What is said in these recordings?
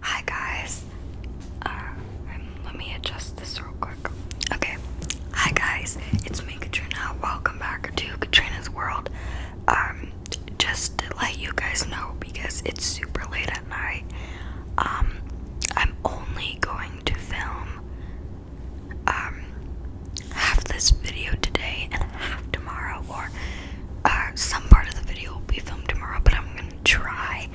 Hi guys. Uh, um, let me adjust this real quick. Okay. Hi guys, it's me Katrina. Welcome back to Katrina's World. Um, just to let you guys know because it's super late at night. Um, I'm only going to film um, half this video today and half tomorrow, or uh, some part of the video will be filmed tomorrow, but I'm gonna try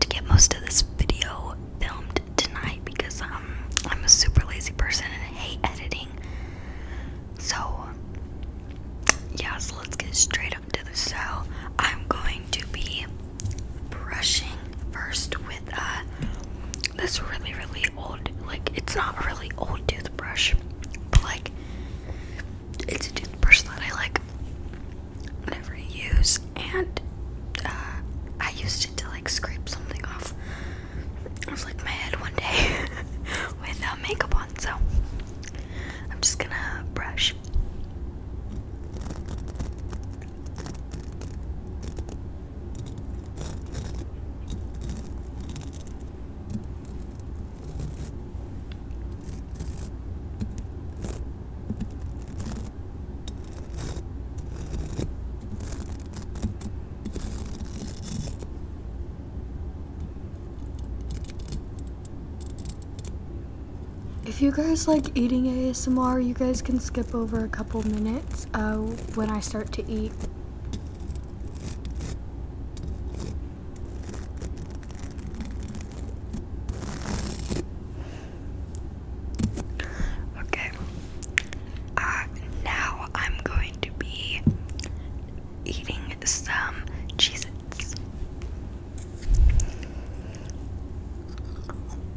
to get most of this video filmed tonight because um, I'm a super lazy person and I hate editing. So, yeah, so let's get straight up to the cell. I'm going to be brushing first with a uh, this really, really old, like, it's not a really old toothbrush, but like, it's a toothbrush that I like never use, and uh, I used it to like scrape something off of like my head one day without makeup on, so I'm just gonna brush. If you guys like eating ASMR, you guys can skip over a couple minutes. Oh, when I start to eat. Okay. Uh, now I'm going to be eating some cheeses.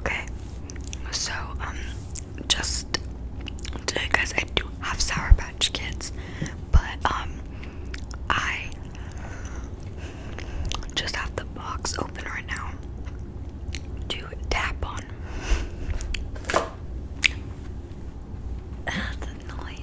Okay, so um, just because I do have Sour Patch Kids, but um, I just have the box open right now to tap on. That's annoying.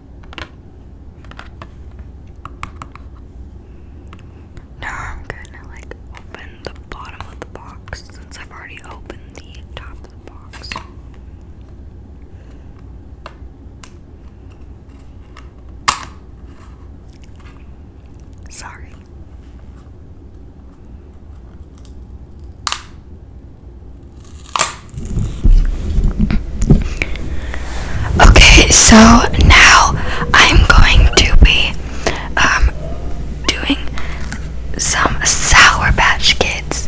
No, I'm gonna like open the bottom of the box since I've already opened the top of the box. Sorry. Okay, so now I'm going to be um, doing some Sour Patch Kids.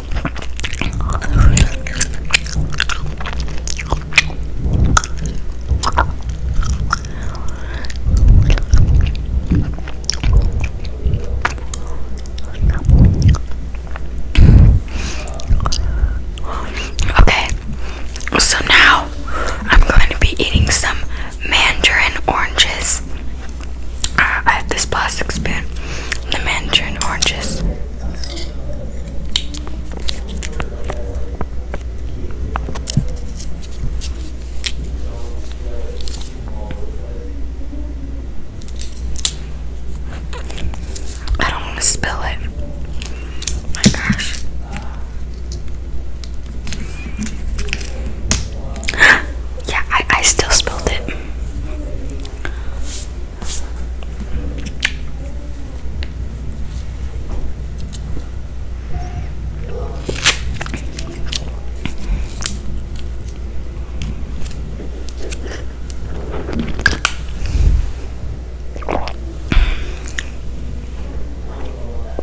Okay, so now I'm going to be eating some mandarin oranges. I have this plastic spoon, the mandarin oranges. I don't want to spill it. my gosh. yeah, I, I still spilled it.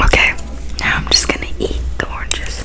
Okay, now I'm just gonna eat the oranges.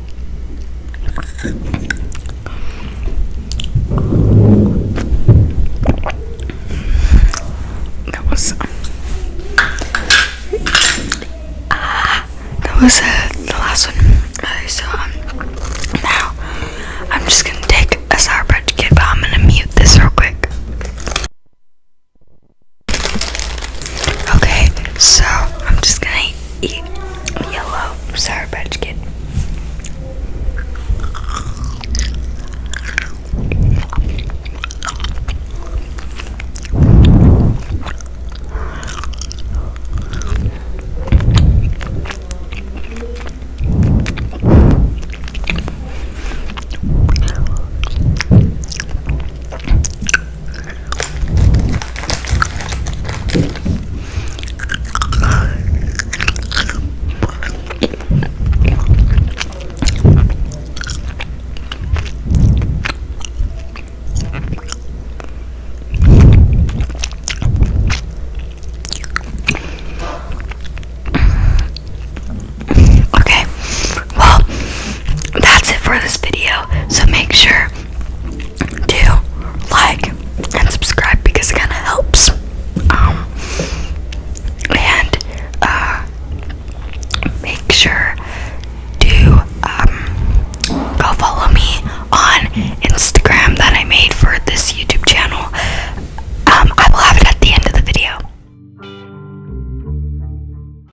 That was ah, that was uh, the last one. Okay, so um, now I'm just gonna take a sour patch kid, but I'm gonna mute this real quick. Okay, so I'm just gonna eat yellow Sour Patch Kid. Okay, well, that's it for this video. So make sure do like and subscribe because it kind of helps. Um, and uh, make sure to um, go follow me on Instagram that I made for this YouTube channel. Um, I will have it at the end of the video.